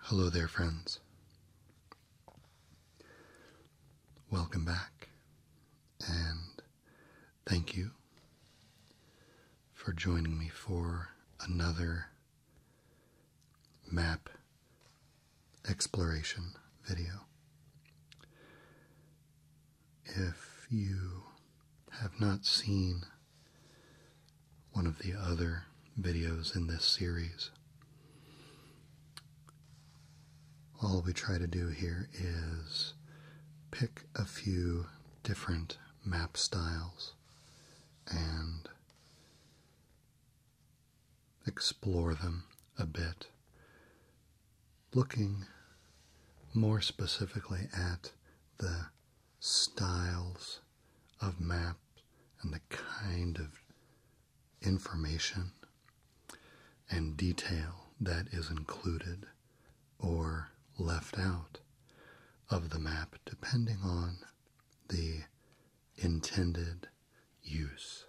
Hello there, friends. Welcome back, and thank you for joining me for another map exploration video. If you have not seen one of the other videos in this series, all we try to do here is pick a few different map styles and explore them a bit, looking more specifically at the styles of maps and the kind of information and detail that is included or left out of the map depending on the intended use.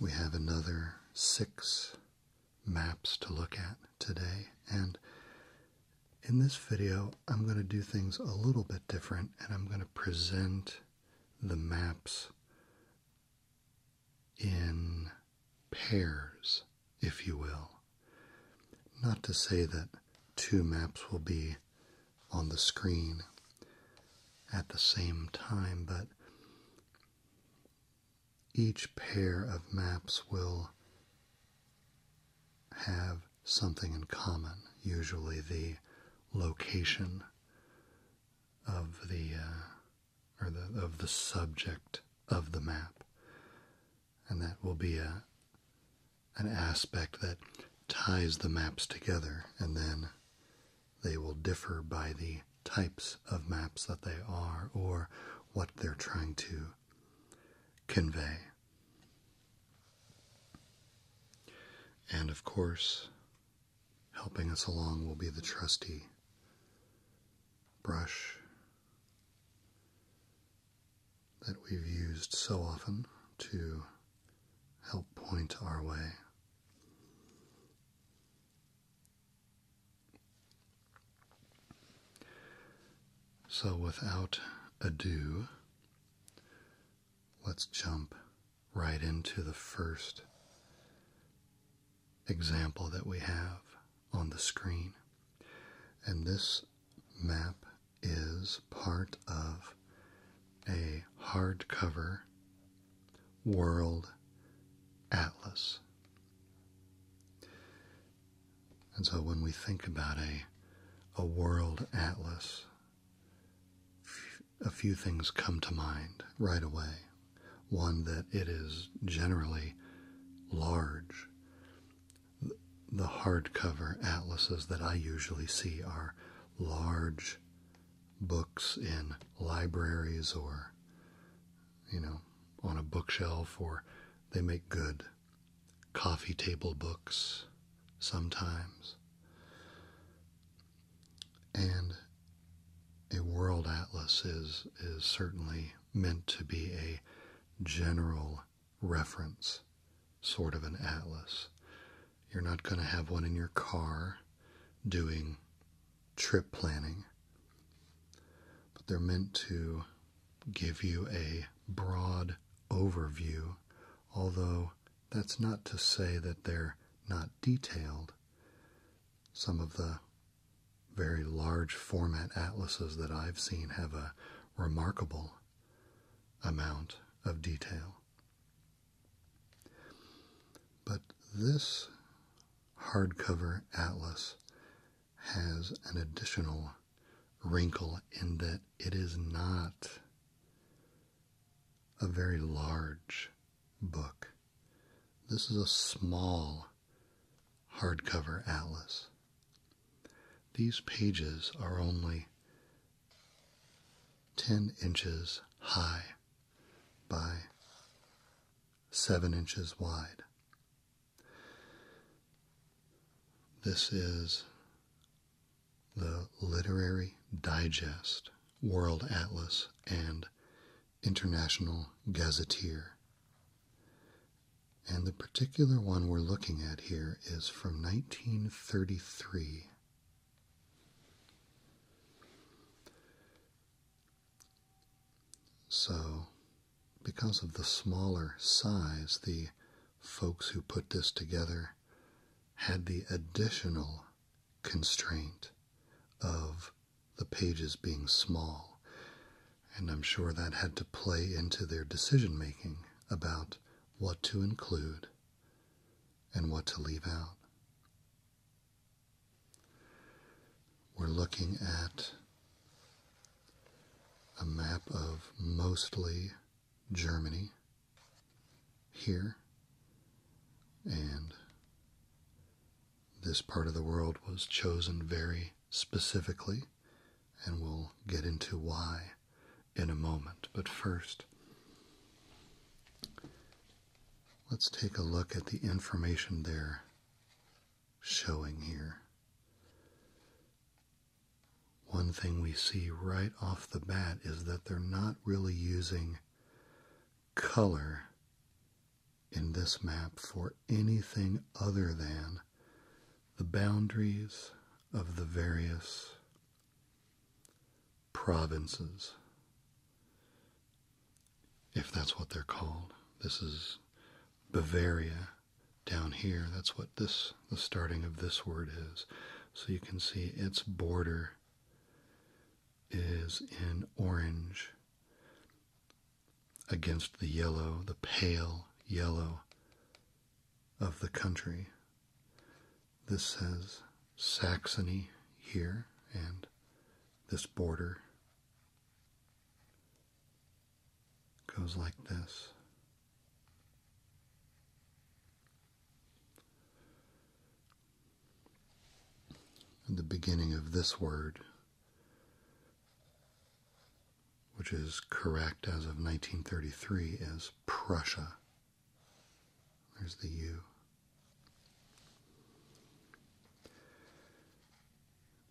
We have another six maps to look at today, and in this video, I'm going to do things a little bit different and I'm going to present the maps in pairs, if you will. Not to say that two maps will be on the screen at the same time, but each pair of maps will have something in common, usually the location of the uh, or the, of the subject of the map and that will be a an aspect that ties the maps together, and then they will differ by the types of maps that they are or what they're trying to convey. And of course, helping us along will be the trusty brush that we've used so often to help point our way. So, without ado, let's jump right into the first example that we have on the screen. And this map is part of a hardcover world atlas. And so when we think about a a world atlas, a few things come to mind right away. One, that it is generally large the hardcover atlases that I usually see are large books in libraries or, you know, on a bookshelf, or they make good coffee table books sometimes. And a world atlas is is certainly meant to be a general reference sort of an atlas. You're not going to have one in your car doing trip planning, but they're meant to give you a broad overview, although that's not to say that they're not detailed. Some of the very large format atlases that I've seen have a remarkable amount of detail. But this hardcover atlas has an additional wrinkle in that it is not a very large book. This is a small hardcover atlas. These pages are only 10 inches high by 7 inches wide. This is the Literary Digest, World Atlas, and International Gazetteer and the particular one we're looking at here is from 1933. So, because of the smaller size, the folks who put this together had the additional constraint of the pages being small and I'm sure that had to play into their decision making about what to include and what to leave out. We're looking at a map of mostly Germany here, and this part of the world was chosen very specifically, and we'll get into why in a moment. But first, let's take a look at the information they're showing here. One thing we see right off the bat is that they're not really using color in this map for anything other than the boundaries of the various provinces, if that's what they're called. This is Bavaria down here. That's what this, the starting of this word is. So you can see its border is in orange against the yellow, the pale yellow of the country. This says Saxony here and this border goes like this. And the beginning of this word which is correct as of 1933, is Prussia. There's the U.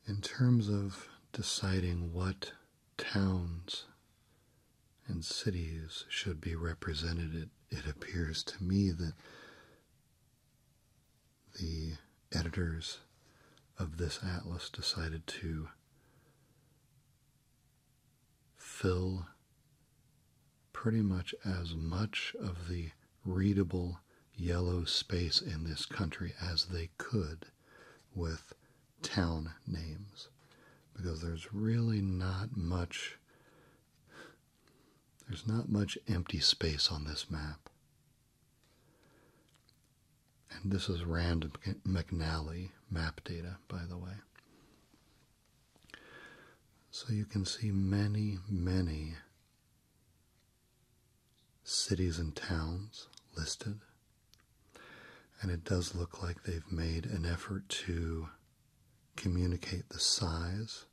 In terms of deciding what towns and cities should be represented, it, it appears to me that the editors of this atlas decided to fill pretty much as much of the readable yellow space in this country as they could with town names because there's really not much there's not much empty space on this map and this is Rand McNally map data, by the way. So you can see many, many cities and towns listed. And it does look like they've made an effort to communicate the size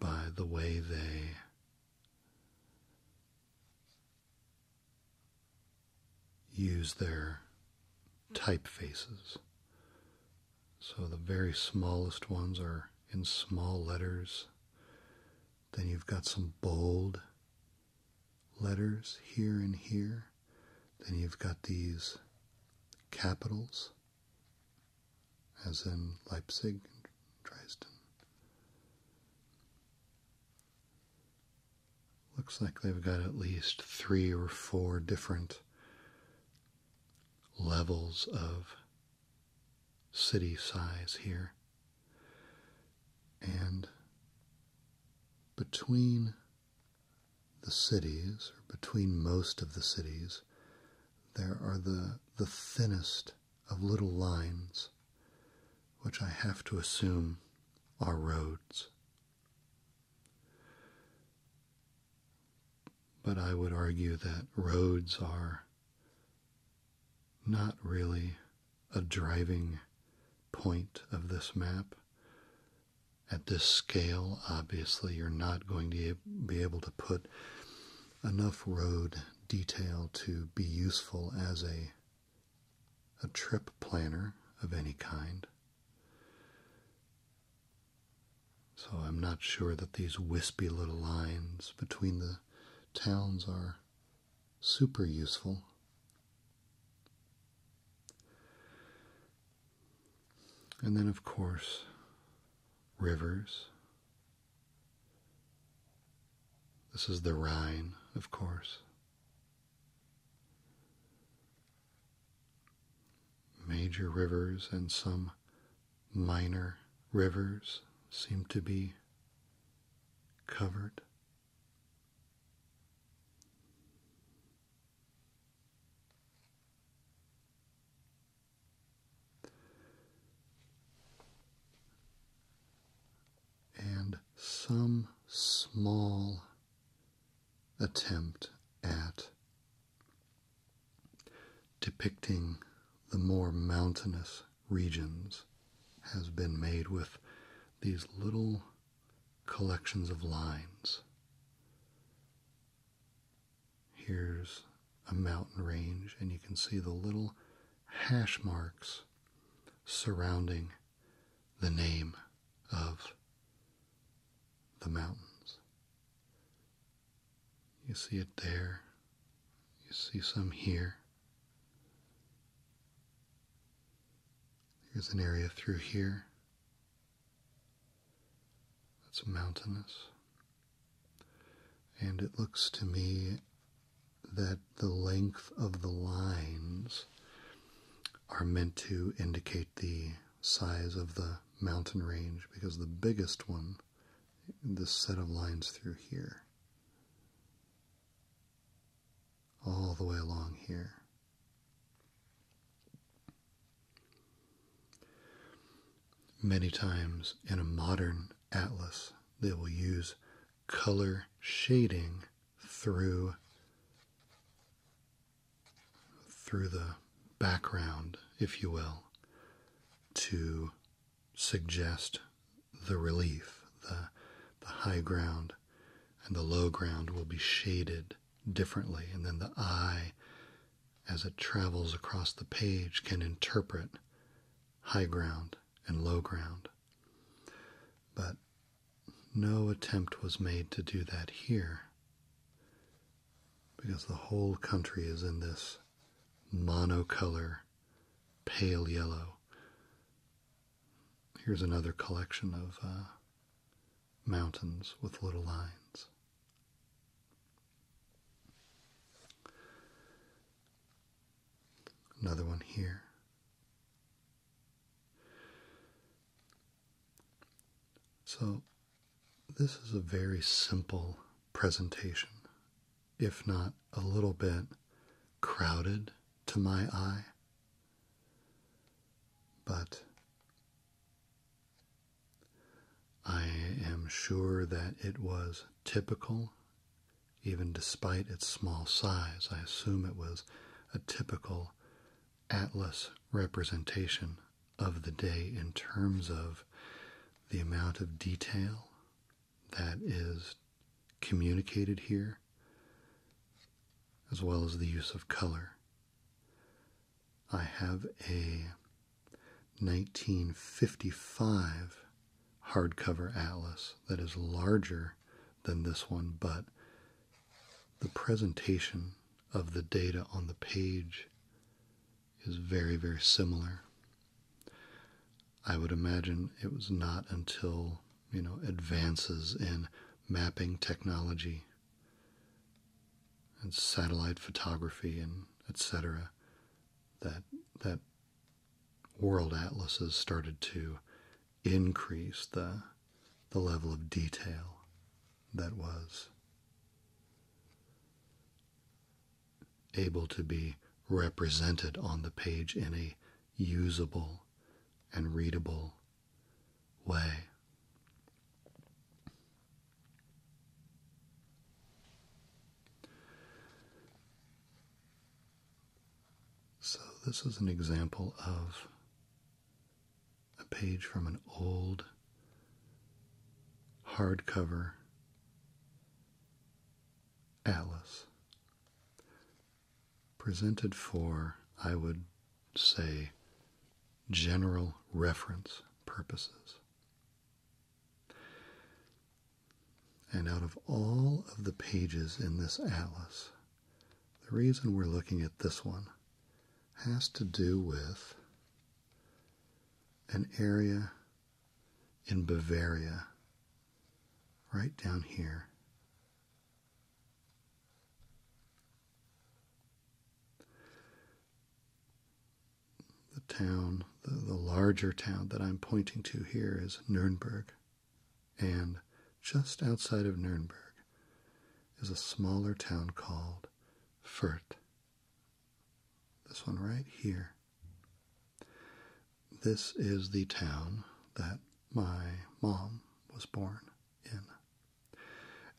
by the way they use their typefaces. So the very smallest ones are in small letters. Then you've got some bold letters here and here. Then you've got these capitals, as in Leipzig and Dresden. Looks like they've got at least three or four different levels of city size here. And between the cities, or between most of the cities, there are the, the thinnest of little lines which I have to assume are roads. But I would argue that roads are not really a driving point of this map. At this scale, obviously, you're not going to be able to put enough road detail to be useful as a a trip planner of any kind. So I'm not sure that these wispy little lines between the towns are super useful. And then, of course, rivers. This is the Rhine, of course. Major rivers and some minor rivers seem to be covered and some small attempt at depicting the more mountainous regions has been made with these little collections of lines. Here's a mountain range, and you can see the little hash marks surrounding the name of the mountains. You see it there, you see some here. There's an area through here that's mountainous. And it looks to me that the length of the lines are meant to indicate the size of the mountain range because the biggest one, this set of lines through here, all the way along here. Many times in a modern atlas, they will use color shading through through the background, if you will, to suggest the relief, the, the high ground and the low ground will be shaded differently, and then the eye, as it travels across the page, can interpret high ground and low ground. But no attempt was made to do that here because the whole country is in this monocolor pale yellow. Here's another collection of uh, mountains with little lines. Another one here. So, this is a very simple presentation, if not a little bit crowded to my eye, but I am sure that it was typical even despite its small size. I assume it was a typical atlas representation of the day in terms of the amount of detail that is communicated here, as well as the use of color. I have a 1955 hardcover atlas that is larger than this one, but the presentation of the data on the page is very, very similar. I would imagine it was not until, you know, advances in mapping technology and satellite photography and etc. that that world atlases started to increase the, the level of detail that was able to be represented on the page in a usable and readable way. So, this is an example of a page from an old hardcover atlas presented for, I would say, general reference purposes. And out of all of the pages in this atlas, the reason we're looking at this one has to do with an area in Bavaria right down here. The town, the, larger town that I'm pointing to here is Nuremberg and just outside of Nuremberg is a smaller town called Furt. This one right here. This is the town that my mom was born in.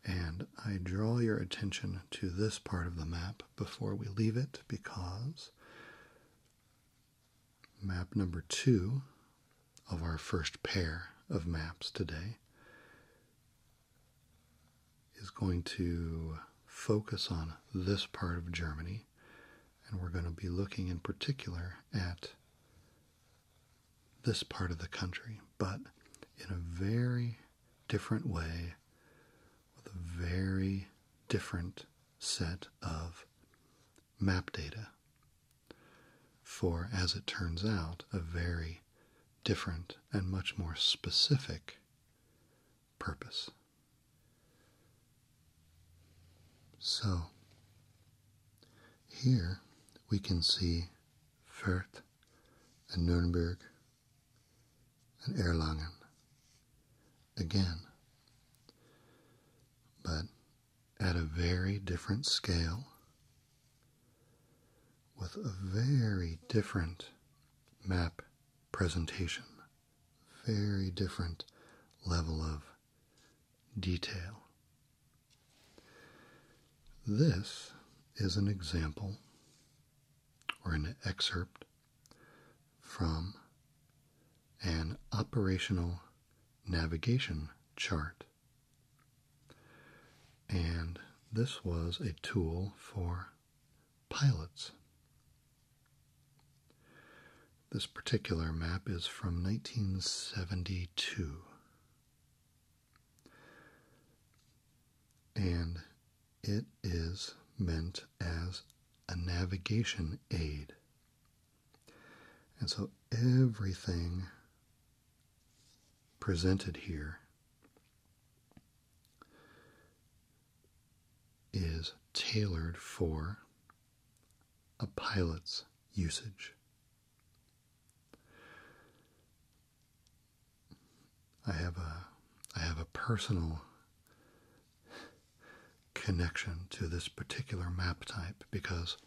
And I draw your attention to this part of the map before we leave it because Map number two of our first pair of maps today is going to focus on this part of Germany, and we're going to be looking in particular at this part of the country, but in a very different way with a very different set of map data for, as it turns out, a very different and much more specific purpose. So, here we can see Fürth and Nuremberg and Erlangen again, but at a very different scale with a very different map presentation, very different level of detail. This is an example or an excerpt from an operational navigation chart and this was a tool for pilots. This particular map is from 1972. And it is meant as a navigation aid and so everything presented here is tailored for a pilot's usage. I have a I have a personal connection to this particular map type because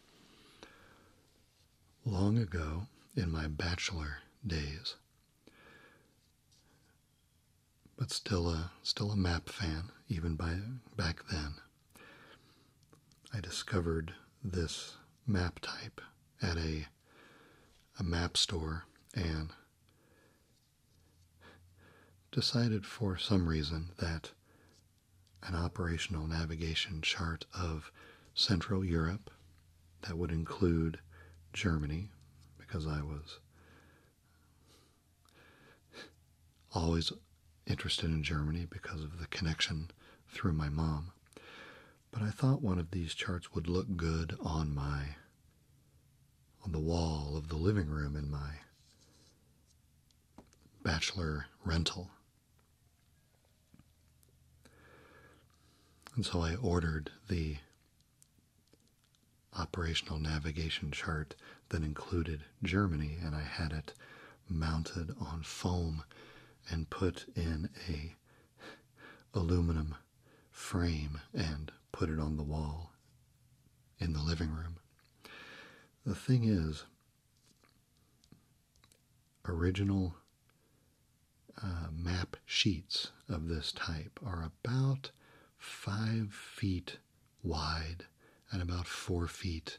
long ago in my bachelor days. But still a still a map fan even by back then. I discovered this map type at a a map store and decided for some reason that an operational navigation chart of Central Europe that would include Germany because I was always interested in Germany because of the connection through my mom. But I thought one of these charts would look good on my on the wall of the living room in my bachelor rental and so I ordered the operational navigation chart that included Germany, and I had it mounted on foam and put in a aluminum frame and put it on the wall in the living room. The thing is, original uh, map sheets of this type are about five feet wide and about four feet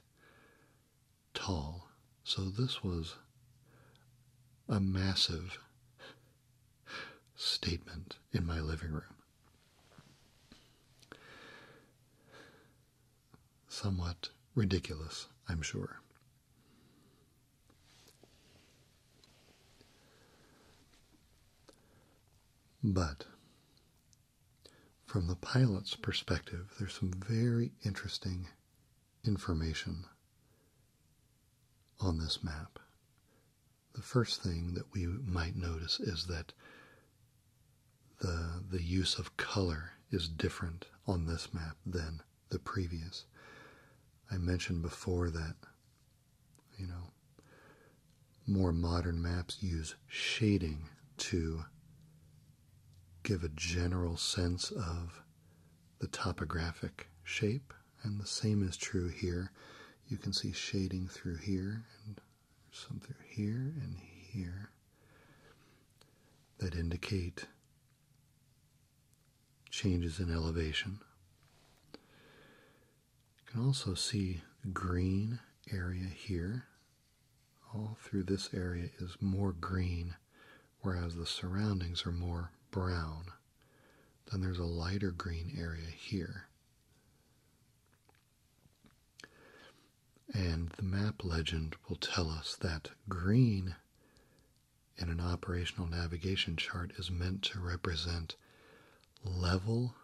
tall. So this was a massive statement in my living room somewhat ridiculous, I'm sure. But from the pilot's perspective, there's some very interesting information on this map. The first thing that we might notice is that the the use of color is different on this map than the previous. I mentioned before that you know more modern maps use shading to give a general sense of the topographic shape and the same is true here. You can see shading through here and some through here and here that indicate changes in elevation. You can also see green area here. All through this area is more green, whereas the surroundings are more brown. Then there's a lighter green area here. And the map legend will tell us that green in an operational navigation chart is meant to represent level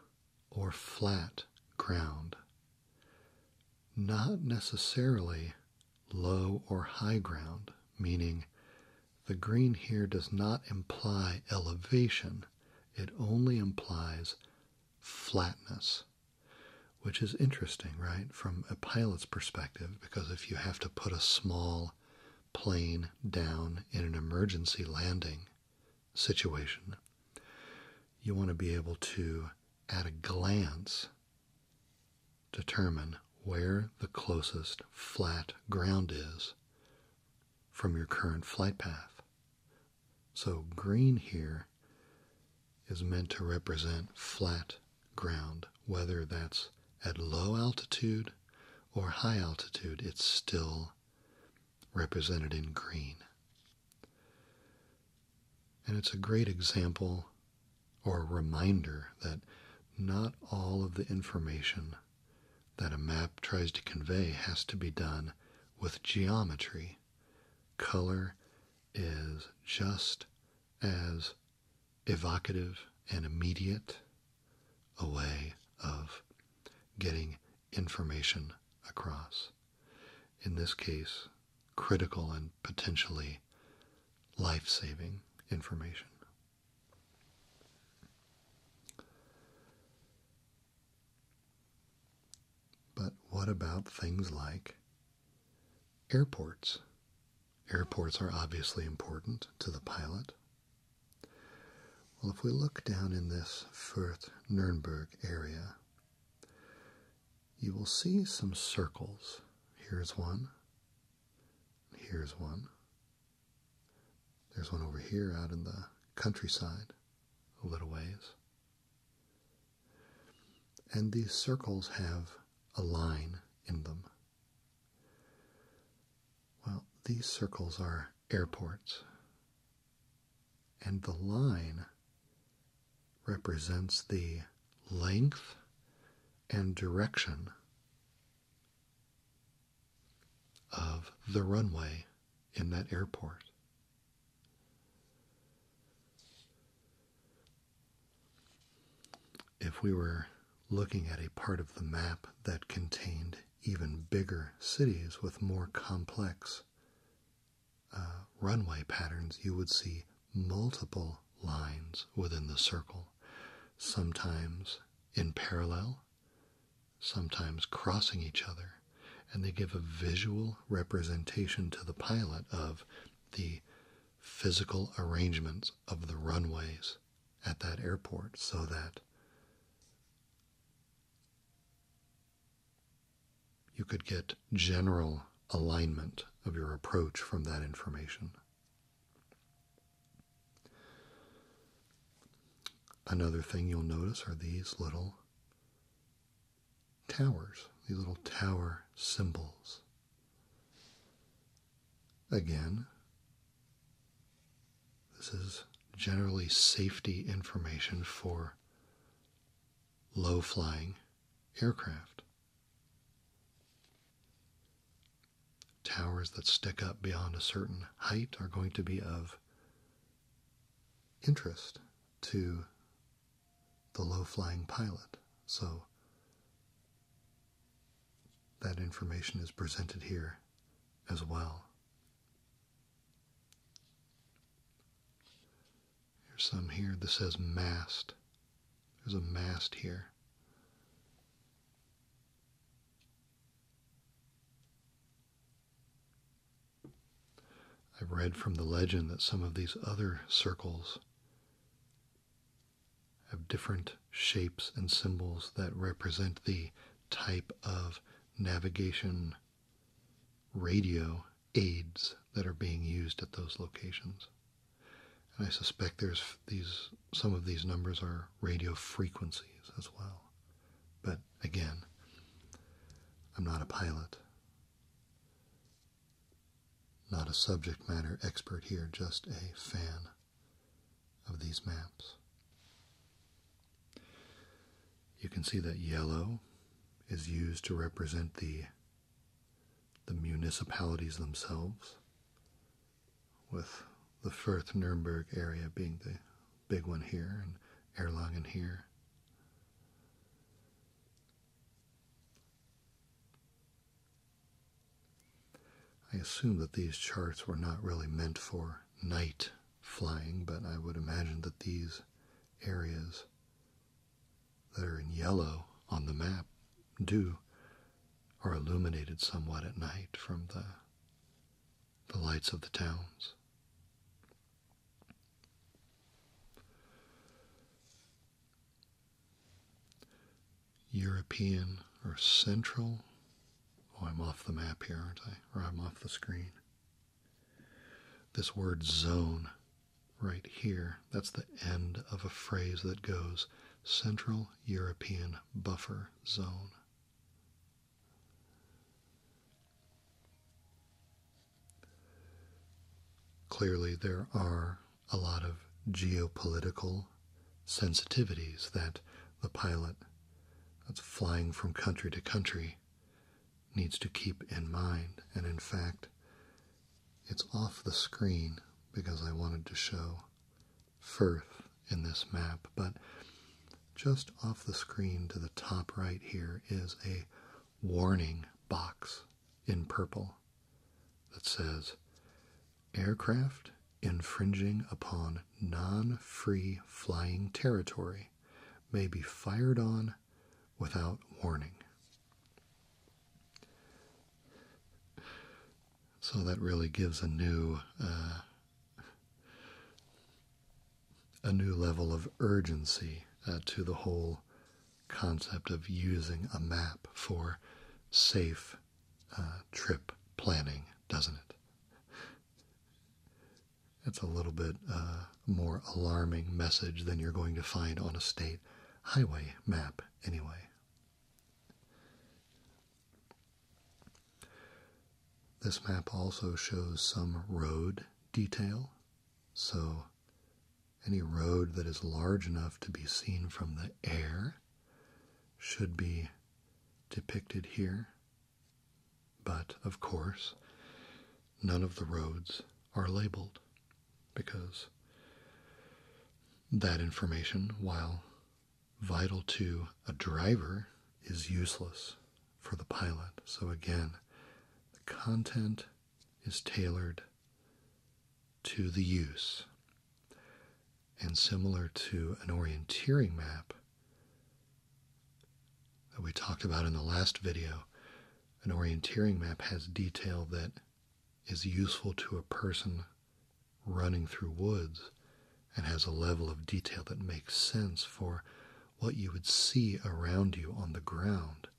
or flat ground, not necessarily low or high ground, meaning the green here does not imply elevation, it only implies flatness which is interesting, right, from a pilot's perspective, because if you have to put a small plane down in an emergency landing situation, you want to be able to, at a glance, determine where the closest flat ground is from your current flight path. So, green here is meant to represent flat ground. Whether that's at low altitude or high altitude, it's still represented in green. And it's a great example or reminder that not all of the information that a map tries to convey has to be done with geometry, color, is just as evocative and immediate a way of getting information across. In this case, critical and potentially life saving information. But what about things like airports? Airports are obviously important to the pilot. Well, if we look down in this Fürth nurnberg area, you will see some circles. Here's one. Here's one. There's one over here out in the countryside, a little ways. And these circles have a line in them. Well, these circles are airports. And the line represents the length and direction of the runway in that airport. If we were looking at a part of the map that contained even bigger cities with more complex uh, runway patterns, you would see multiple lines within the circle, sometimes in parallel, sometimes crossing each other, and they give a visual representation to the pilot of the physical arrangements of the runways at that airport so that you could get general alignment of your approach from that information. Another thing you'll notice are these little towers, these little tower symbols. Again, this is generally safety information for low flying aircraft. Towers that stick up beyond a certain height are going to be of interest to the low flying pilot. So that information is presented here as well. There's some here that says mast. There's a mast here. I've read from the legend that some of these other circles have different shapes and symbols that represent the type of navigation radio aids that are being used at those locations. And I suspect there's these some of these numbers are radio frequencies as well. But again, I'm not a pilot. Not a subject matter expert here, just a fan of these maps. You can see that yellow is used to represent the the municipalities themselves, with the Firth Nuremberg area being the big one here and Erlangen here. I assume that these charts were not really meant for night flying, but I would imagine that these areas that are in yellow on the map do are illuminated somewhat at night from the the lights of the towns. European or Central. Oh, I'm off the map here, aren't I? Or I'm off the screen. This word zone right here, that's the end of a phrase that goes Central European Buffer Zone. Clearly, there are a lot of geopolitical sensitivities that the pilot that's flying from country to country needs to keep in mind. And in fact, it's off the screen because I wanted to show Firth in this map, but just off the screen to the top right here is a warning box in purple that says aircraft infringing upon non free flying territory may be fired on without warning. So that really gives a new uh, a new level of urgency uh, to the whole concept of using a map for safe uh, trip planning, doesn't it? It's a little bit uh, more alarming message than you're going to find on a state highway map, anyway. This map also shows some road detail, so any road that is large enough to be seen from the air should be depicted here. But, of course, none of the roads are labeled because that information, while vital to a driver, is useless for the pilot. So, again, the content is tailored to the use. And similar to an orienteering map that we talked about in the last video, an orienteering map has detail that is useful to a person running through woods and has a level of detail that makes sense for what you would see around you on the ground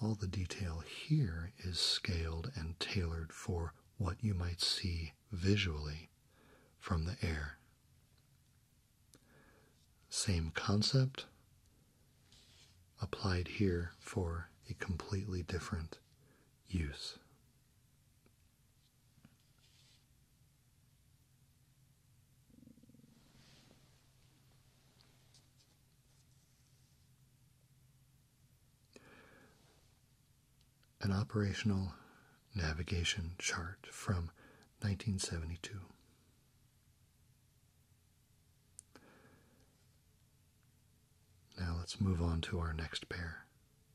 all the detail here is scaled and tailored for what you might see visually from the air. Same concept applied here for a completely different use. An operational navigation chart from 1972. Now let's move on to our next pair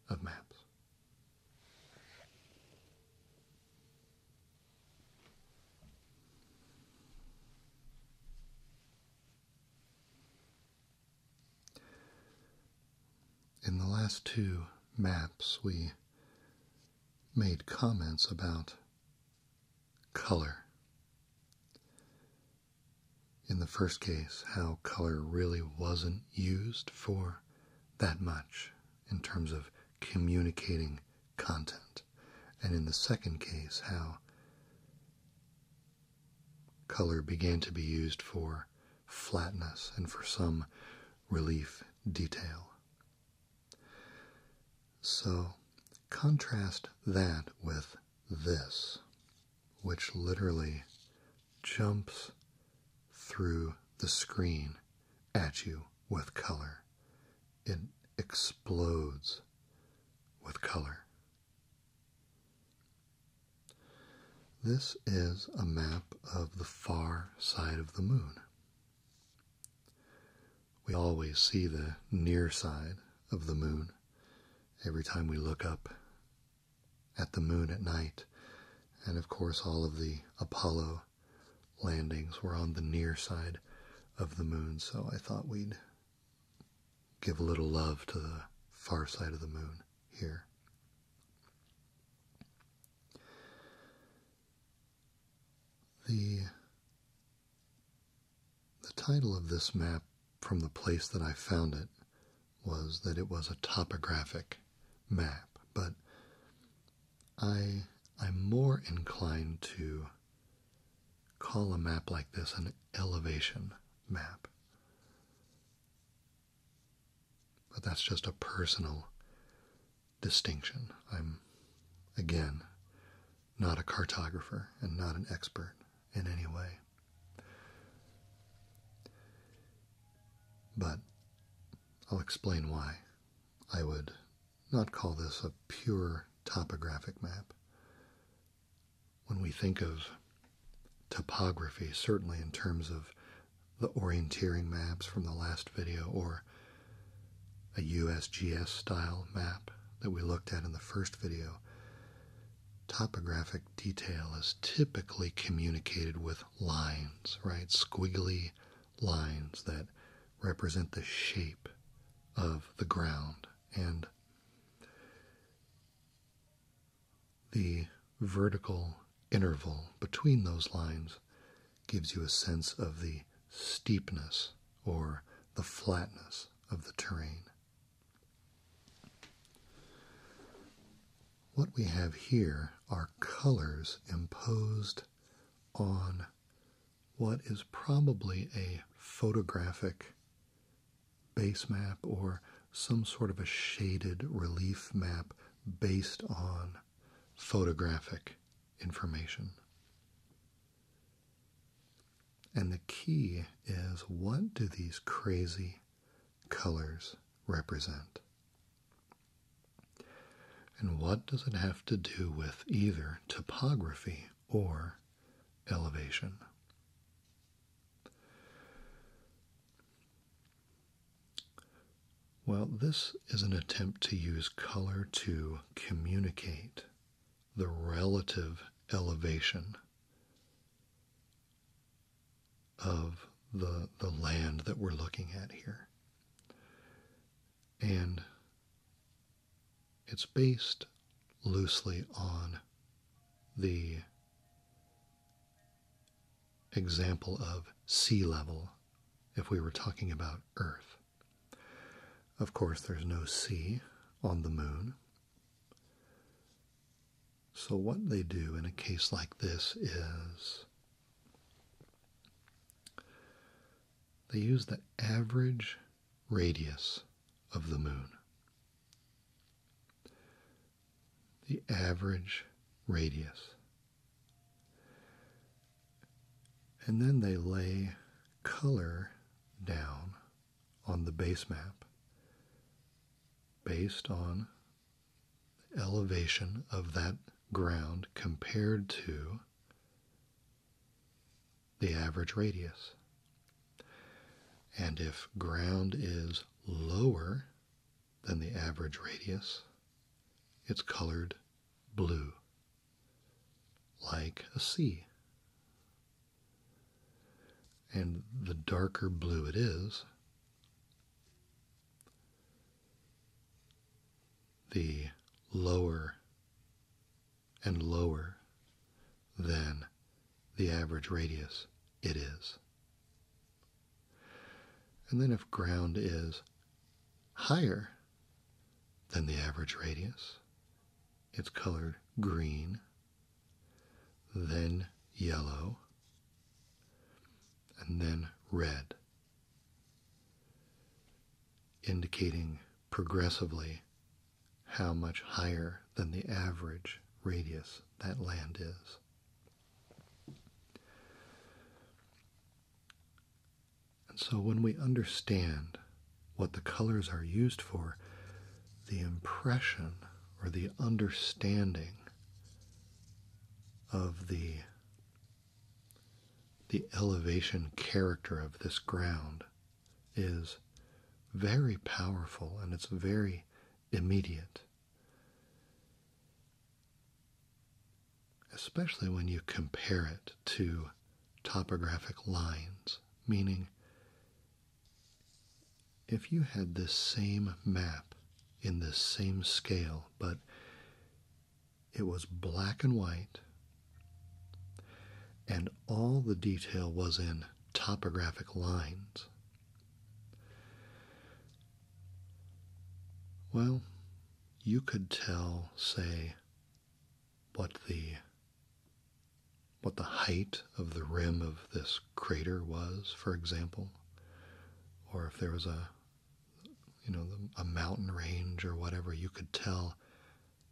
of maps. In the last two maps, we made comments about color. In the first case, how color really wasn't used for that much in terms of communicating content. And in the second case, how Color began to be used for flatness and for some relief detail. So contrast that with this, which literally jumps through the screen at you with color. It explodes with color. This is a map of the far side of the moon. We always see the near side of the moon every time we look up at the moon at night. And of course, all of the Apollo landings were on the near side of the moon, so I thought we'd give a little love to the far side of the moon here. The, the title of this map, from the place that I found it, was that it was a topographic map, but I, I'm more inclined to call a map like this an elevation map. But that's just a personal distinction. I'm, again, not a cartographer and not an expert in any way. But I'll explain why I would not call this a pure topographic map, when we think of topography, certainly in terms of the orienteering maps from the last video or a USGS style map that we looked at in the first video, topographic detail is typically communicated with lines, right? Squiggly lines that represent the shape of the ground and the vertical interval between those lines gives you a sense of the steepness or the flatness of the terrain. What we have here are colors imposed on what is probably a photographic base map or some sort of a shaded relief map based on photographic information. And the key is what do these crazy colors represent? And what does it have to do with either topography or elevation. While this is an attempt to use color to communicate the relative elevation of the, the land that we're looking at here. And it's based loosely on the example of sea level if we were talking about Earth. Of course, there's no sea on the moon. So, what they do in a case like this is they use the average radius of the moon the average radius. And then they lay color down on the base map based on the elevation of that ground compared to the average radius. And if ground is lower than the average radius, it's colored blue, like a sea. And the darker blue it is, the lower and lower than the average radius it is. And then if ground is higher than the average radius, it's colored green, then yellow, and then red, indicating progressively how much higher than the average radius that land is. And so when we understand what the colors are used for, the impression or the understanding of the the elevation character of this ground is very powerful and it's very immediate. Especially when you compare it to topographic lines, meaning if you had this same map in this same scale, but it was black and white, and all the detail was in topographic lines. Well, you could tell, say, what the what the height of the rim of this crater was, for example, or if there was a you know a mountain range or whatever, you could tell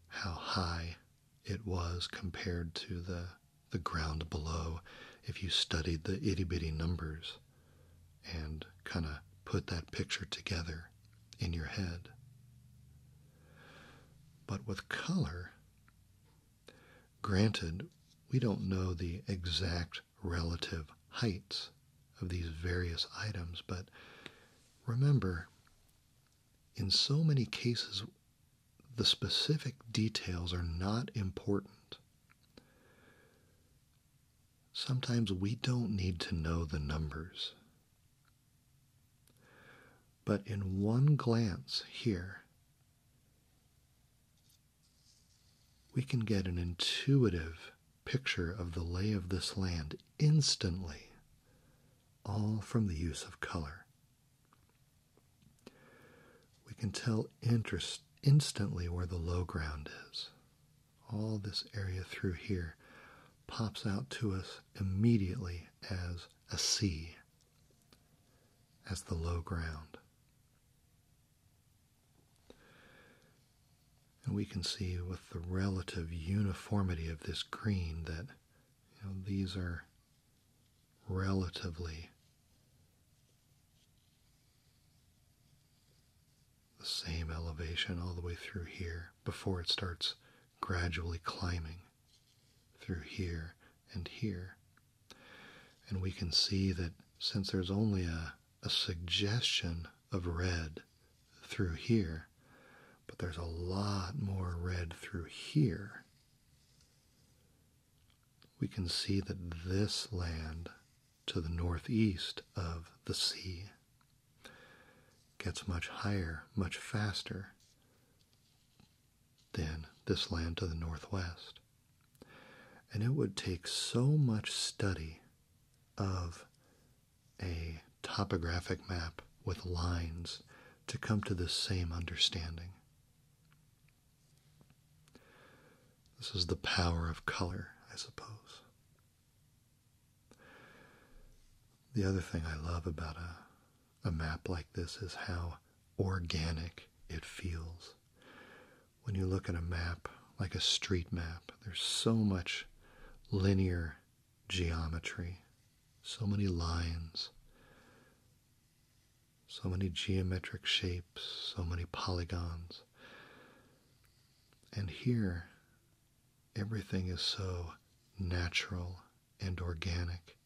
how high it was compared to the, the ground below if you studied the itty bitty numbers and kind of put that picture together in your head. But with color, granted, we don't know the exact relative heights of these various items, but remember, in so many cases, the specific details are not important. Sometimes we don't need to know the numbers. But in one glance here, we can get an intuitive picture of the lay of this land instantly, all from the use of color. We can tell instantly where the low ground is. All this area through here pops out to us immediately as a sea, as the low ground. And we can see with the relative uniformity of this green that these are relatively the same elevation all the way through here before it starts gradually climbing through here and here. And we can see that since there's only a, suggestion of red through here, but there's a lot more red through here we can see that this land to the northeast of the sea gets much higher, much faster than this land to the northwest. And it would take so much study of a topographic map with lines to come to the same understanding. This is the power of color, I suppose. The other thing I love about a, a map like this is how organic it feels. When you look at a map, like a street map, there's so much linear geometry, so many lines, so many geometric shapes, so many polygons. And here, everything is so natural and organic.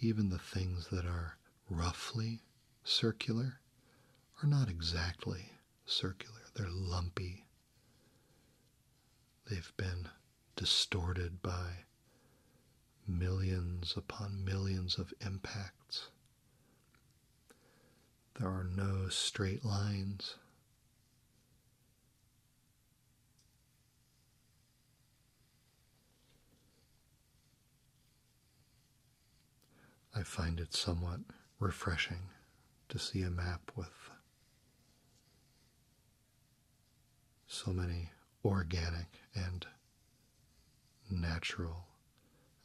Even the things that are roughly circular are not exactly circular, they're lumpy. They've been distorted by millions upon millions of impacts. There are no straight lines. I find it somewhat refreshing to see a map with so many organic and natural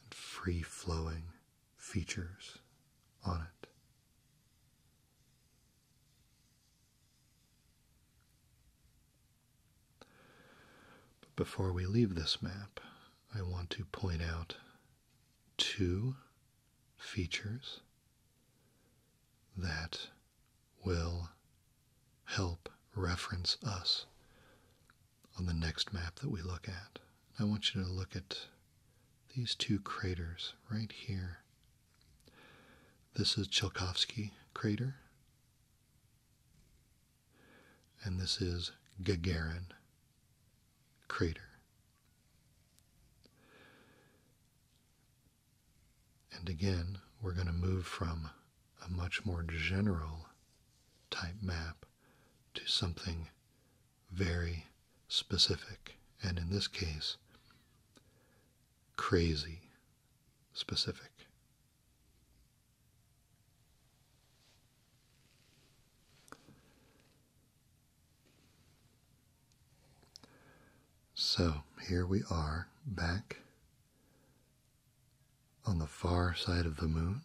and free flowing features on it. But before we leave this map, I want to point out two features that will help reference us on the next map that we look at. I want you to look at these two craters right here. This is Tchaikovsky crater, and this is Gagarin crater. And again, we're going to move from a much more general type map to something very specific, and in this case, crazy specific. So here we are back on the far side of the moon.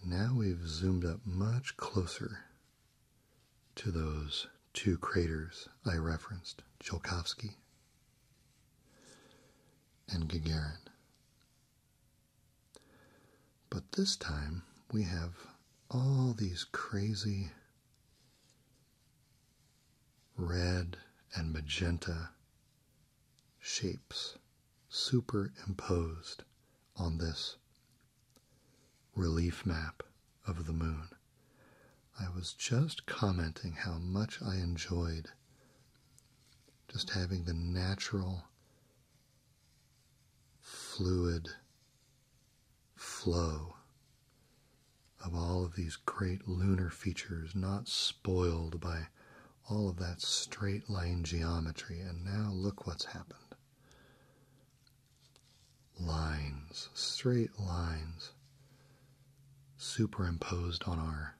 And now we've zoomed up much closer to those two craters I referenced Tsiolkovsky and Gagarin. But this time we have all these crazy red and magenta shapes superimposed on this relief map of the moon. I was just commenting how much I enjoyed just having the natural, fluid flow of all of these great lunar features, not spoiled by all of that straight line geometry. And now look what's happened lines, straight lines superimposed on our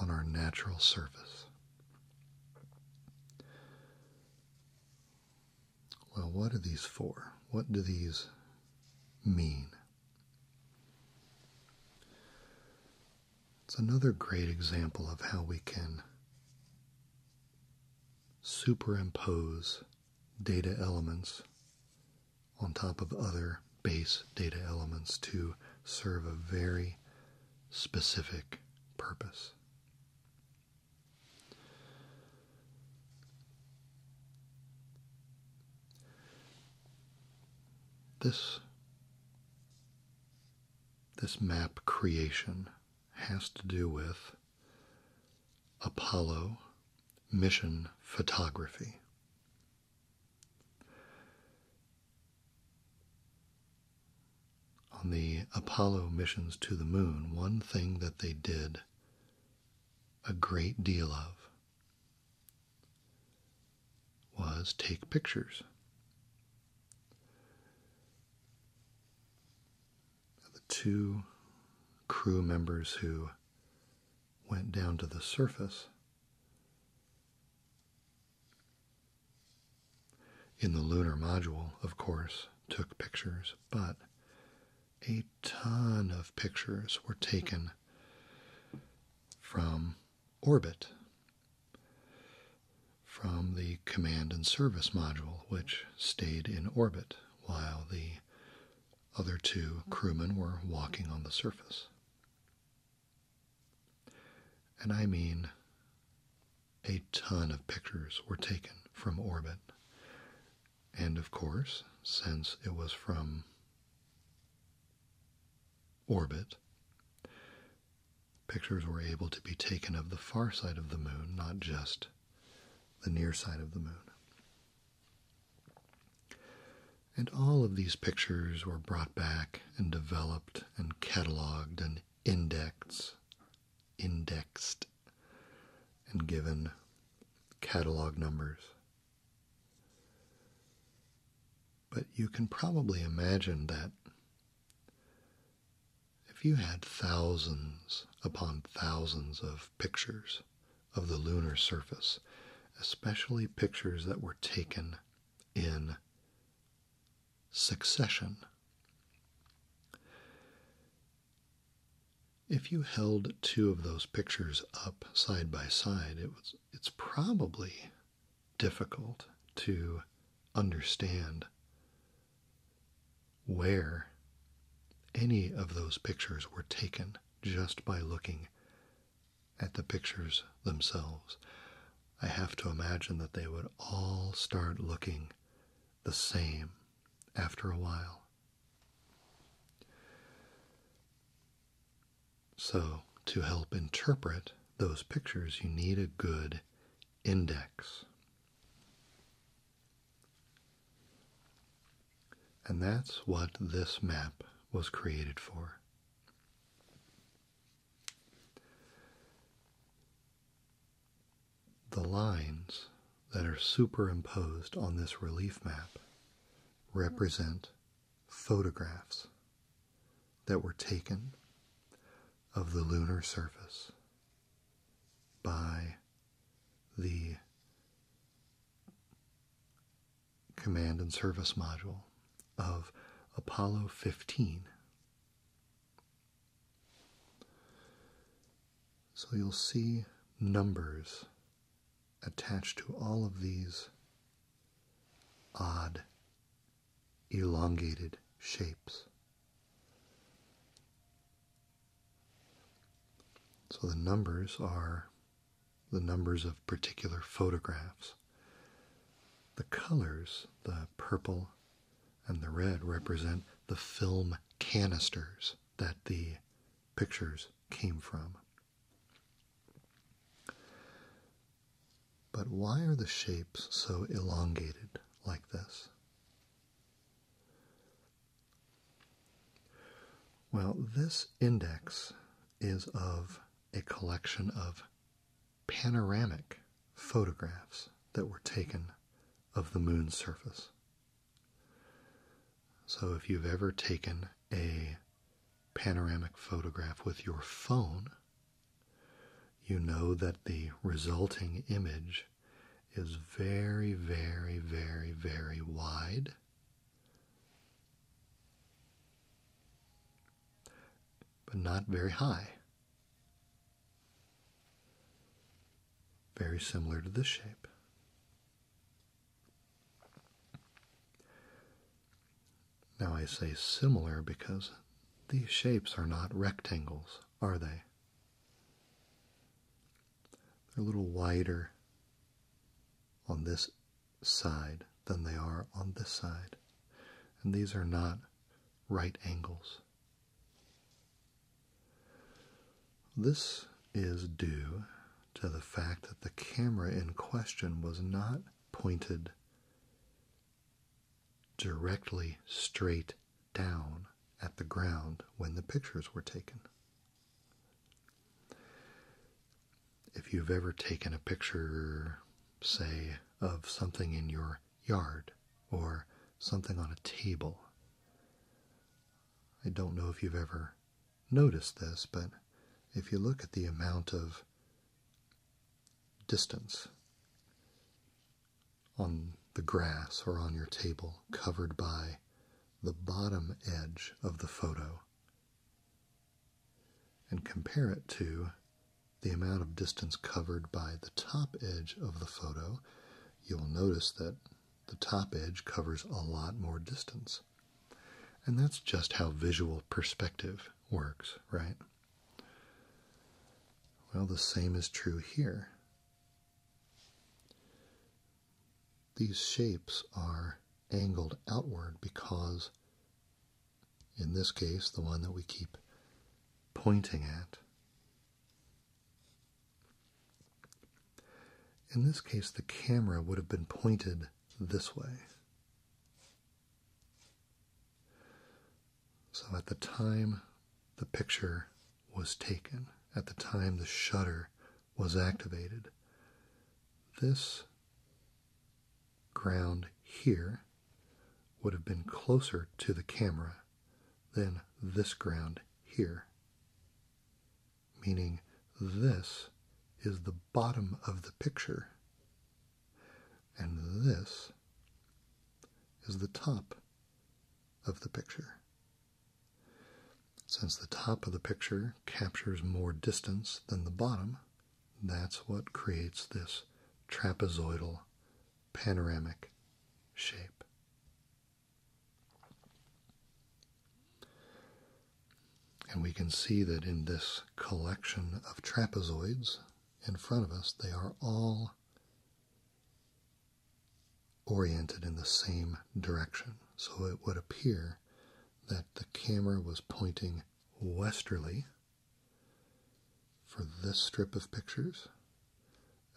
on our natural surface. Well, what are these for? What do these mean? It's another great example of how we can superimpose data elements on top of other base data elements to serve a very specific purpose. This, this map creation has to do with Apollo mission photography. On the Apollo missions to the moon, one thing that they did a great deal of was take pictures the two crew members who went down to the surface in the lunar module, of course, took pictures, but a a ton of pictures were taken from orbit, from the command and service module, which stayed in orbit while the other two crewmen were walking on the surface. And I mean, a ton of pictures were taken from orbit and of course, since it was from orbit, pictures were able to be taken of the far side of the moon, not just the near side of the moon. And all of these pictures were brought back and developed and cataloged and indexed, indexed, and given catalog numbers but you can probably imagine that if you had thousands upon thousands of pictures of the lunar surface, especially pictures that were taken in succession, if you held two of those pictures up side by side, it was it's probably difficult to understand where any of those pictures were taken just by looking at the pictures themselves. I have to imagine that they would all start looking the same after a while. So, to help interpret those pictures, you need a good index. And that's what this map was created for. The lines that are superimposed on this relief map represent photographs that were taken of the lunar surface by the command and service module of Apollo 15. So you'll see numbers attached to all of these odd, elongated shapes. So the numbers are the numbers of particular photographs. The colors, the purple and the red, represent the film canisters that the pictures came from. But why are the shapes so elongated like this? Well, this index is of a collection of panoramic photographs that were taken of the moon's surface. So, if you've ever taken a panoramic photograph with your phone, you know that the resulting image is very, very, very, very wide. But not very high. Very similar to this shape. Now I say similar because these shapes are not rectangles, are they? They're a little wider on this side than they are on this side. And these are not right angles. This is due to the fact that the camera in question was not pointed directly straight down at the ground when the pictures were taken. If you've ever taken a picture, say, of something in your yard or something on a table, I don't know if you've ever Notice this, but if you look at the amount of distance on the grass or on your table covered by the bottom edge of the photo and compare it to the amount of distance covered by the top edge of the photo, you'll notice that the top edge covers a lot more distance. And that's just how visual perspective works, right? Well, the same is true here. These shapes are angled outward because, in this case, the one that we keep pointing at, in this case, the camera would have been pointed this way. So at the time the picture was taken, at the time the shutter was activated, this ground here would have been closer to the camera than this ground here meaning this is the bottom of the picture, and this is the top of the picture. Since the top of the picture captures more distance than the bottom, that's what creates this trapezoidal panoramic shape. And we can see that in this collection of trapezoids in front of us, they are all oriented in the same direction. So it would appear that the camera was pointing westerly for this strip of pictures,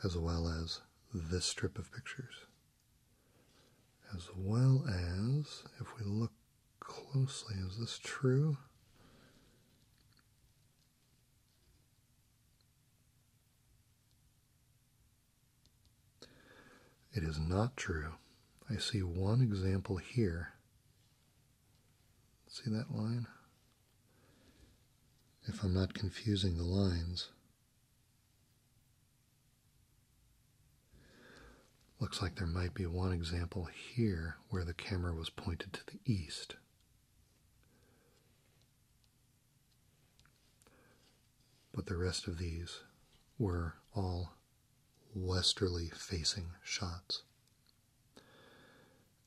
as well as this strip of pictures, as well as if we look closely. Is this true? It is not true. I see one example here. See that line? If I'm not confusing the lines. Looks like there might be one example here where the camera was pointed to the east. But the rest of these were all westerly facing shots.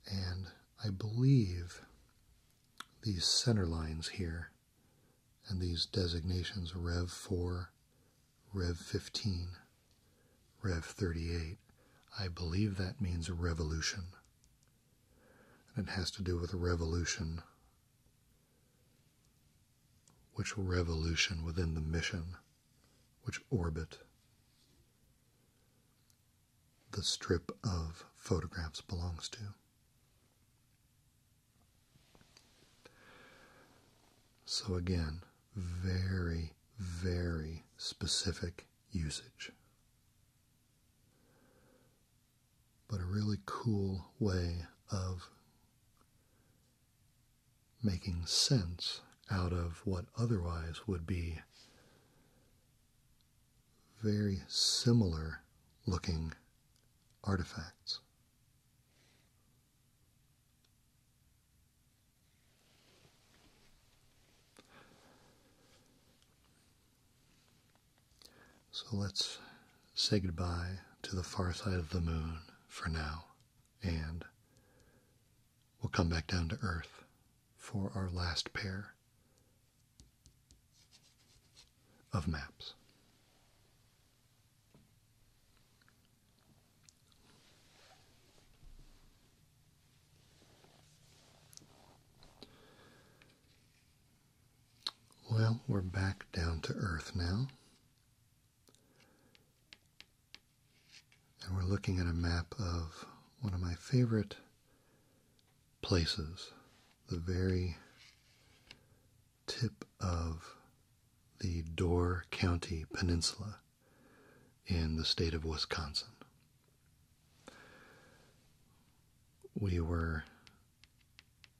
And I believe these center lines here and these designations Rev 4 Rev 15, Rev 38. I believe that means revolution. And it has to do with a revolution. Which revolution within the mission? Which orbit? The strip of photographs belongs to. So, again, very, very specific usage. But a really cool way of making sense out of what otherwise would be very similar looking artifacts. So let's say goodbye to the far side of the moon for now, and we'll come back down to Earth for our last pair of maps. Well, we're back down to earth now. And we're looking at a map of one of my favorite places, the very tip of the Door County Peninsula in the state of Wisconsin. We were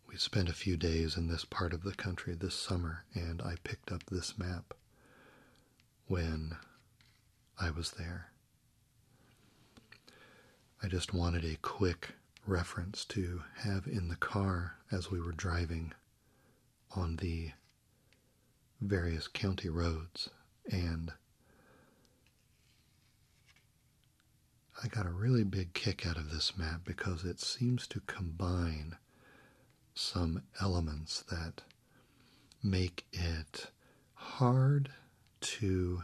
we spent a few days in this part of the country this summer and I picked up this map when I was there. I just wanted a quick reference to have in the car as we were driving on the various county roads and I got a really big kick out of this map because it seems to combine some elements that make it hard to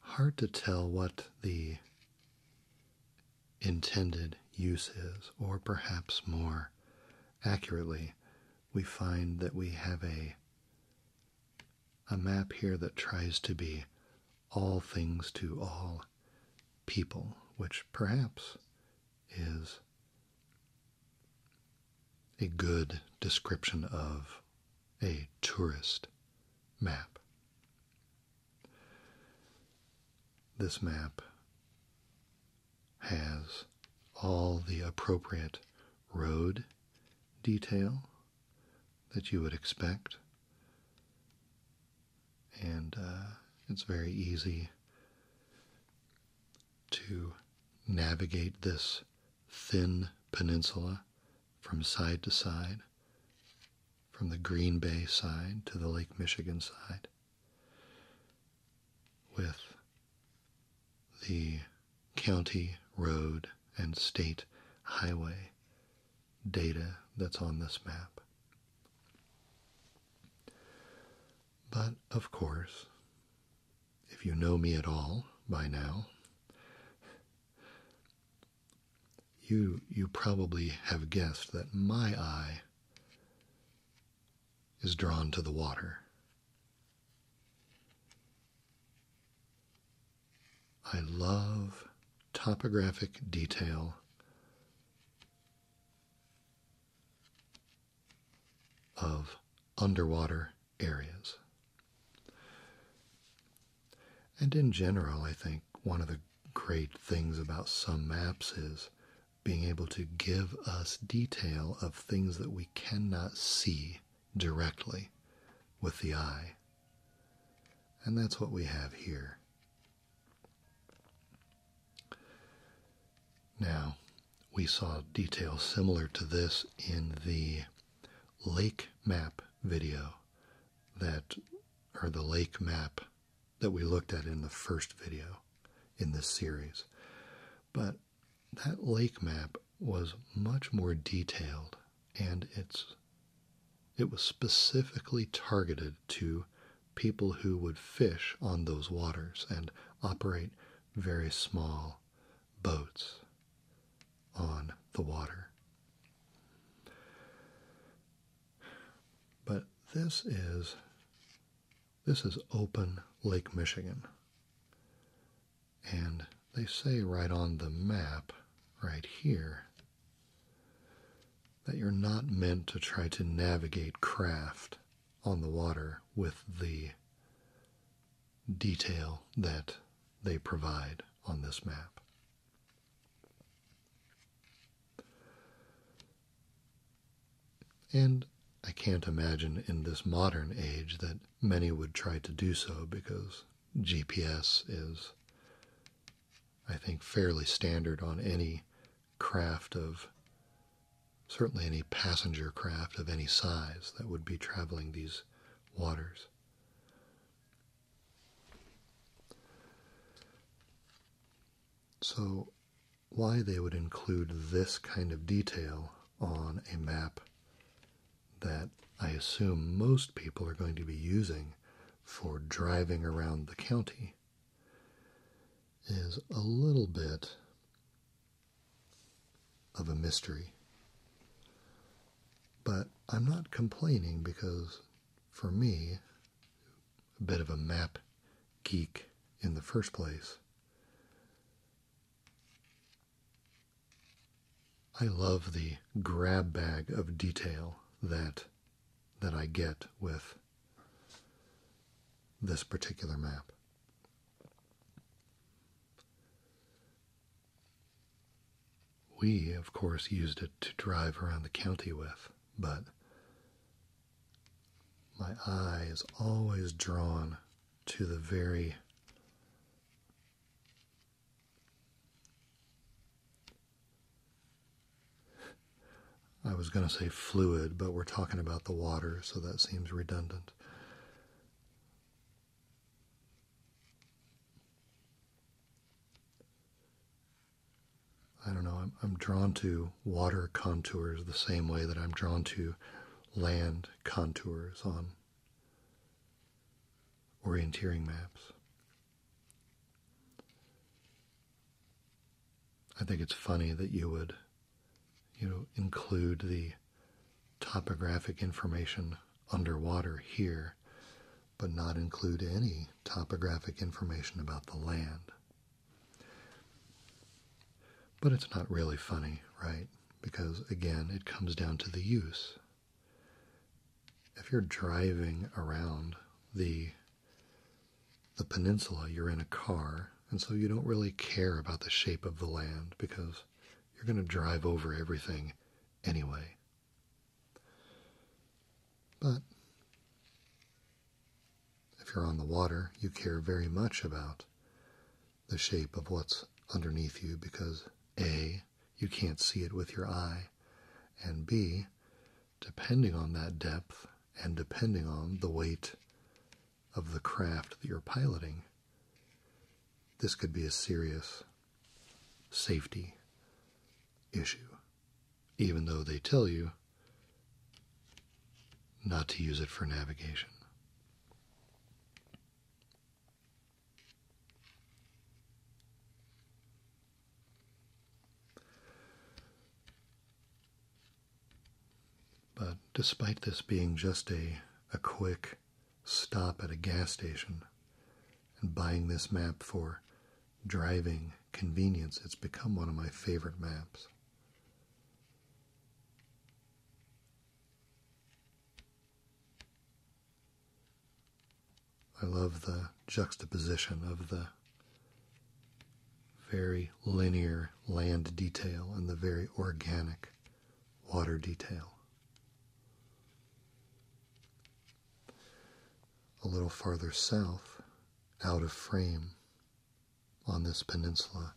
hard to tell what the intended uses, or perhaps more accurately, we find that we have a, a map here that tries to be all things to all people, which perhaps is a good description of a tourist map. This map has all the appropriate road detail that you would expect, and uh, it's very easy to navigate this thin peninsula from side to side from the Green Bay side to the Lake Michigan side, with the county road and state highway data that's on this map. But of course, if you know me at all by now, you, you probably have guessed that my eye is drawn to the water. I love topographic detail of underwater areas. And in general, I think one of the great things about some maps is being able to give us detail of things that we cannot see directly with the eye. And that's what we have here. Now, we saw details similar to this in the lake map video that or the lake map that we looked at in the first video in this series. But that lake map was much more detailed and it's it was specifically targeted to people who would fish on those waters and operate very small boats on the water. But this is this is open Lake Michigan. And they say right on the map right here that you're not meant to try to navigate craft on the water with the detail that they provide on this map. And I can't imagine in this modern age that many would try to do so because GPS is, I think, fairly standard on any craft of, certainly any passenger craft of any size that would be traveling these waters. So, why they would include this kind of detail on a map that I assume most people are going to be using for driving around the county is a little bit of a mystery. But I'm not complaining because for me, a bit of a map geek in the first place. I love the grab bag of detail that that I get with this particular map. We, of course, used it to drive around the county with but my eye is always drawn to the very I was going to say fluid, but we're talking about the water, so that seems redundant. I don't know, I'm, drawn to water contours the same way that I'm drawn to land contours on orienteering maps. I think it's funny that you would, you know, include the topographic information underwater here, but not include any topographic information about the land. But it's not really funny, right? Because again, it comes down to the use. If you're driving around the the peninsula, you're in a car, and so you don't really care about the shape of the land because you're going to drive over everything anyway. But if you're on the water, you care very much about the shape of what's underneath you because A, you can't see it with your eye, and B, depending on that depth and depending on the weight of the craft that you're piloting, this could be a serious safety issue even though they tell you not to use it for navigation. But despite this being just a, a quick stop at a gas station and buying this map for driving convenience, it's become one of my favorite maps. I love the juxtaposition of the very linear land detail and the very organic water detail. A little farther south, out of frame on this peninsula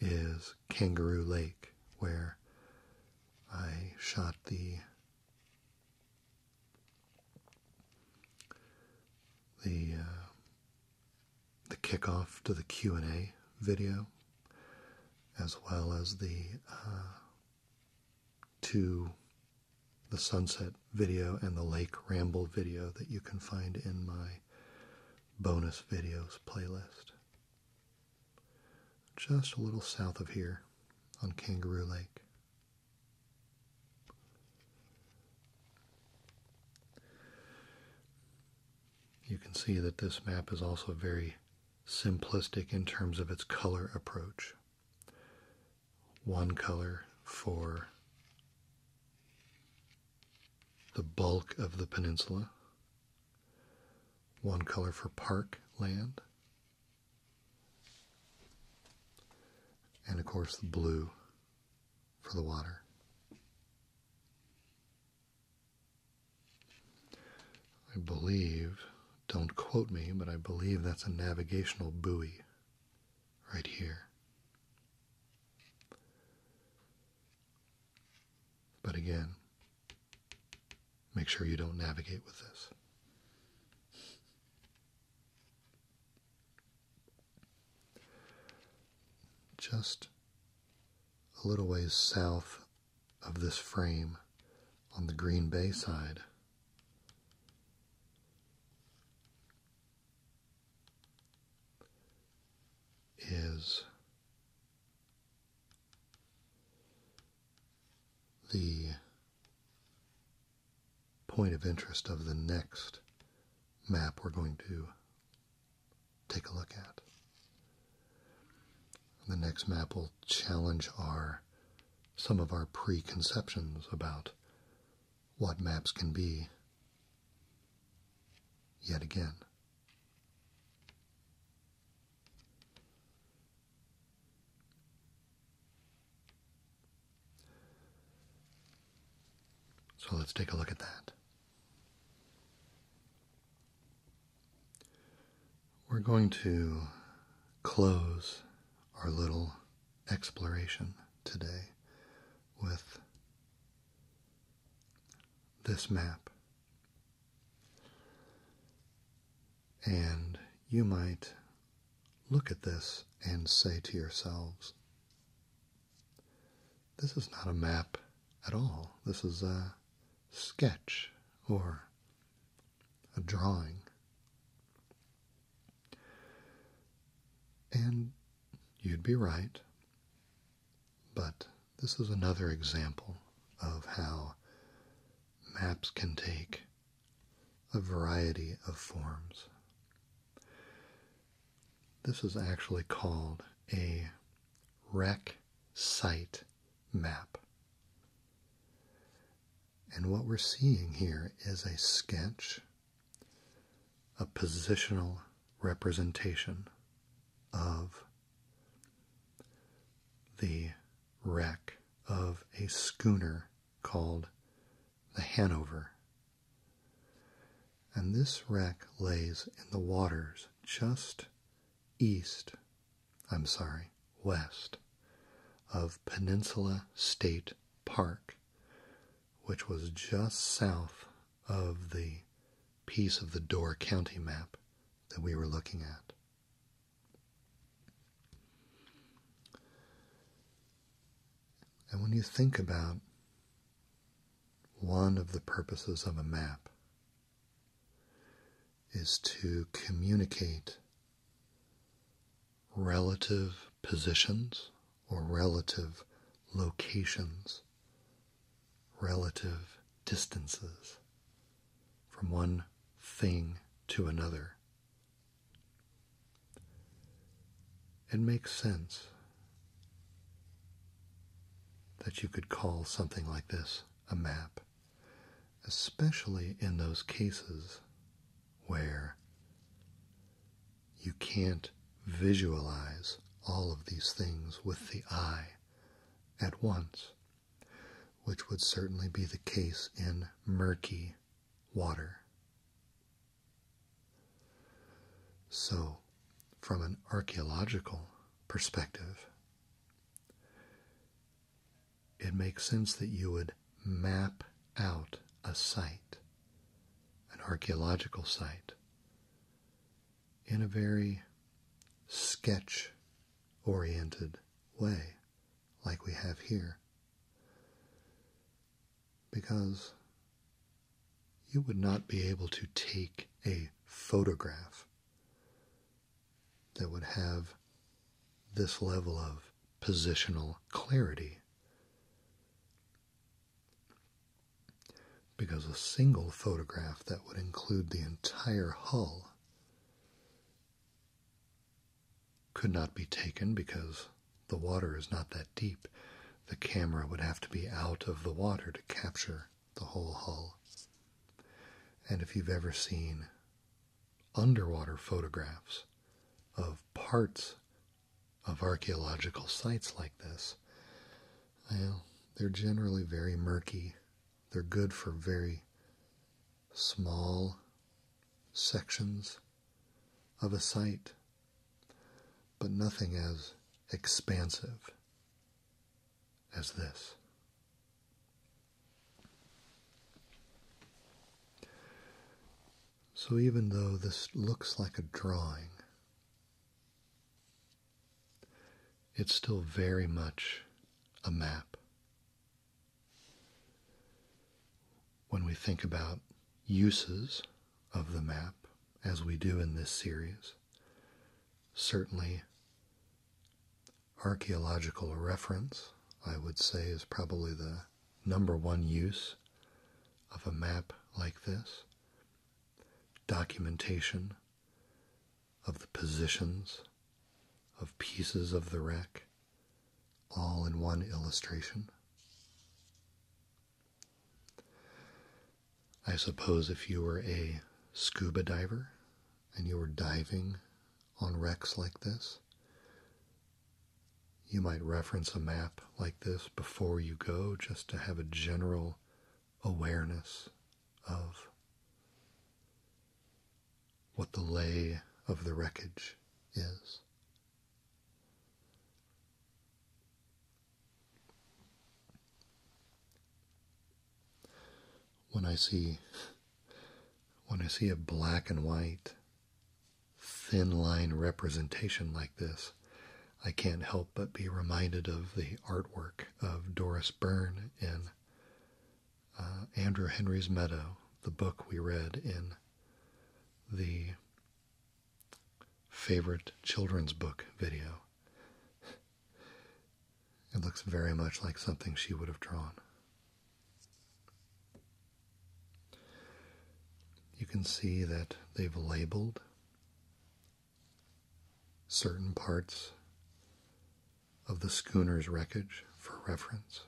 is Kangaroo Lake, where I shot the the uh, the kickoff to the Q and A video, as well as the uh, two the sunset video and the lake ramble video that you can find in my bonus videos playlist. Just a little south of here on Kangaroo Lake. You can see that this map is also very simplistic in terms of its color approach one color for the bulk of the peninsula, one color for park land, and of course the blue for the water. I believe, don't quote me, but I believe that's a navigational buoy right here. But again, make sure you don't navigate with this. Just a little ways south of this frame on the Green Bay side is the point of interest of the next map we're going to take a look at. The next map will challenge our some of our preconceptions about what maps can be yet again. So let's take a look at that. We're going to close our little exploration today with this map. And you might look at this and say to yourselves, this is not a map at all. This is a sketch or a drawing. And you'd be right. But this is another example of how maps can take a variety of forms. This is actually called a wreck site map. And what we're seeing here is a sketch a positional representation of the wreck of a schooner called the Hanover. And this wreck lays in the waters just east, I'm sorry, west of Peninsula State Park, which was just south of the piece of the Door County map that we were looking at. And when you think about one of the purposes of a map is to communicate relative positions or relative locations, relative distances from one thing to another. It makes sense that you could call something like this a map, especially in those cases where you can't visualize all of these things with the eye at once, which would certainly be the case in murky water. So, from an archaeological perspective, it makes sense that you would map out a site an archaeological site in a very sketch oriented way, like we have here. Because you would not be able to take a photograph that would have this level of positional clarity because a single photograph that would include the entire hull could not be taken because the water is not that deep. The camera would have to be out of the water to capture the whole hull. And if you've ever seen underwater photographs of parts of archaeological sites like this, well, they're generally very murky. They're good for very small sections of a site, but nothing as expansive as this. So even though this looks like a drawing, it's still very much a map. When we think about uses of the map, as we do in this series, certainly archaeological reference, I would say, is probably the number one use of a map like this documentation of the positions of pieces of the wreck, all in one illustration. I suppose if you were a scuba diver and you were diving on wrecks like this, you might reference a map like this before you go just to have a general awareness of what the lay of the wreckage is. When I see when I see a black and white thin line representation like this, I can't help but be reminded of the artwork of Doris Byrne in uh, Andrew Henry's Meadow, the book we read in the favorite children's book video. It looks very much like something she would have drawn you can see that they've labeled certain parts of the schooner's wreckage for reference.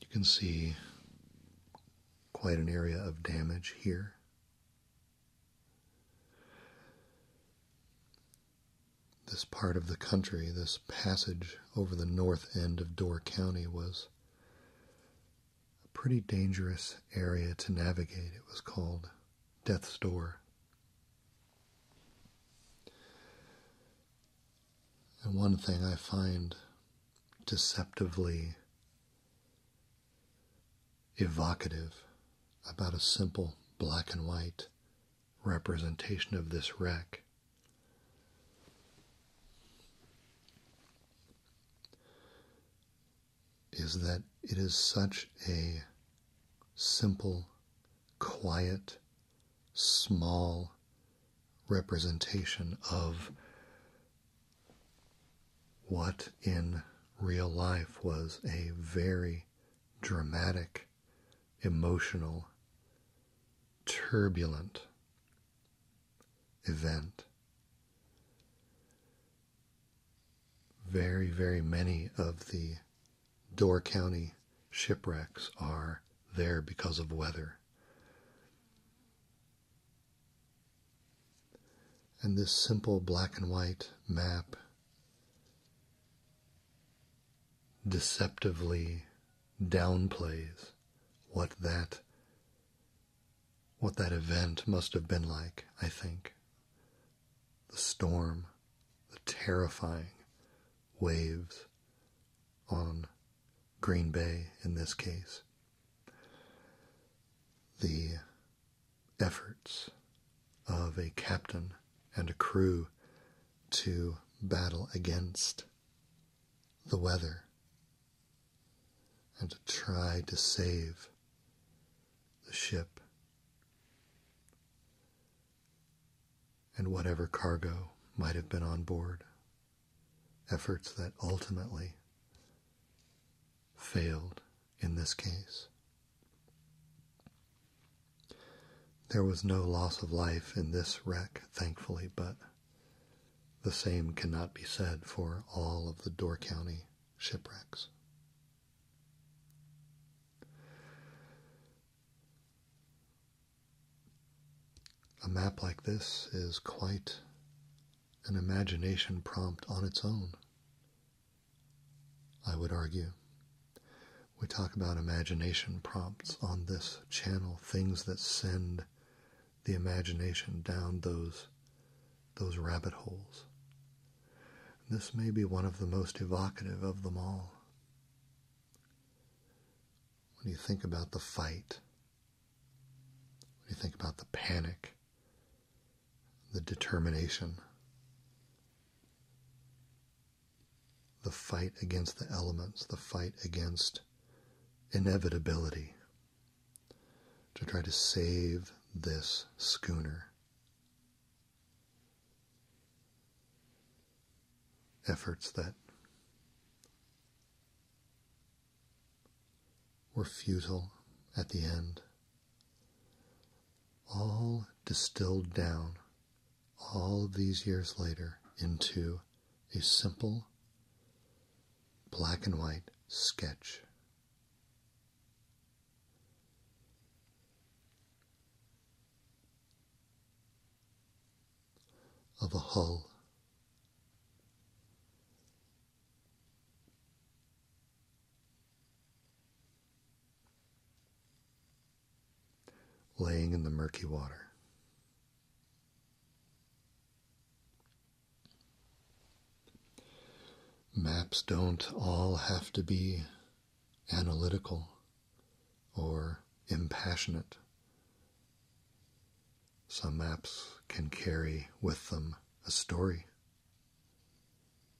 You can see quite an area of damage here. This part of the country, this passage over the north end of Door County, was a pretty dangerous area to navigate. It was called Death's Door. And one thing I find deceptively evocative about a simple black and white representation of this wreck. Is that it is such a simple, quiet, small representation of what in real life was a very dramatic emotional, turbulent event. Very, very many of the Door County shipwrecks are there because of weather. And this simple black and white map deceptively downplays what that what that event must have been like, I think. The storm, the terrifying waves on Green Bay in this case. The efforts of a captain and a crew to battle against the weather and to try to save the ship and whatever cargo might have been on board. Efforts that ultimately failed in this case. There was no loss of life in this wreck, thankfully, but the same cannot be said for all of the Door County shipwrecks. A map like this is quite an imagination prompt on its own, I would argue. We talk about imagination prompts on this channel, things that send the imagination down those those rabbit holes. This may be one of the most evocative of them all. When you think about the fight, when you think about the panic, the determination, the fight against the elements, the fight against inevitability, to try to save this schooner. Efforts that were futile at the end, all distilled down all these years later into a simple black and white sketch. Of a hull laying in the murky water. Maps don't all have to be analytical or impassionate. Some maps can carry with them a story,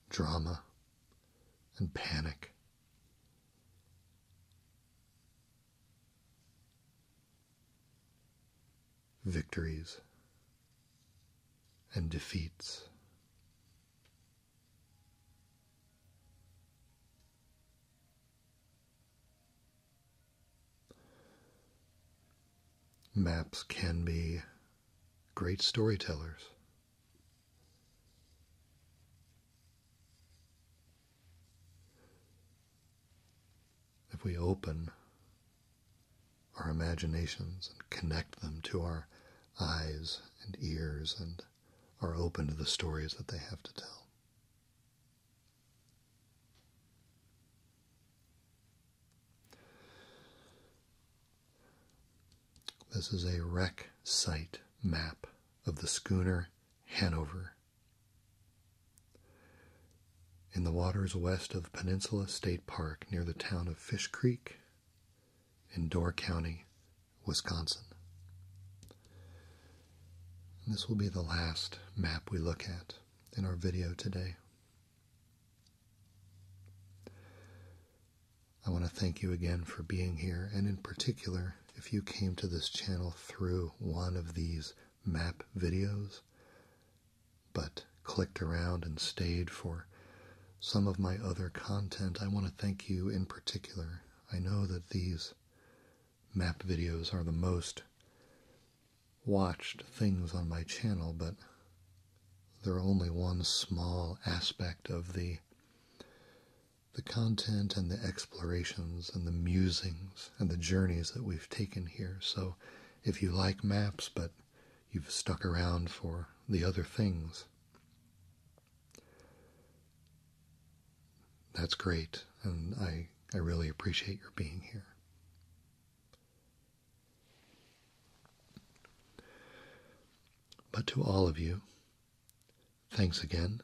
drama, and panic, victories and defeats. Maps can be great storytellers. If we open our imaginations and connect them to our eyes and ears and are open to the stories that they have to tell. This is a wreck site map of the schooner Hanover. In the waters west of Peninsula State Park near the town of Fish Creek in Door County, Wisconsin. this will be the last map we look at in our video today. I want to thank you again for being here, and in particular, if you came to this channel through one of these map videos, but clicked around and stayed for some of my other content, I want to thank you in particular. I know that these map videos are the most watched things on my channel, but they're only one small aspect of the the content and the explorations and the musings and the journeys that we've taken here. So if you like maps but you've stuck around for the other things, that's great. And I, I really appreciate your being here. But to all of you, Thanks again.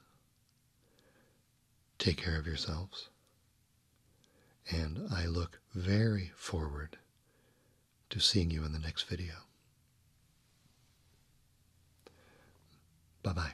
Take care of yourselves. And I look very forward to seeing you in the next video. Bye bye.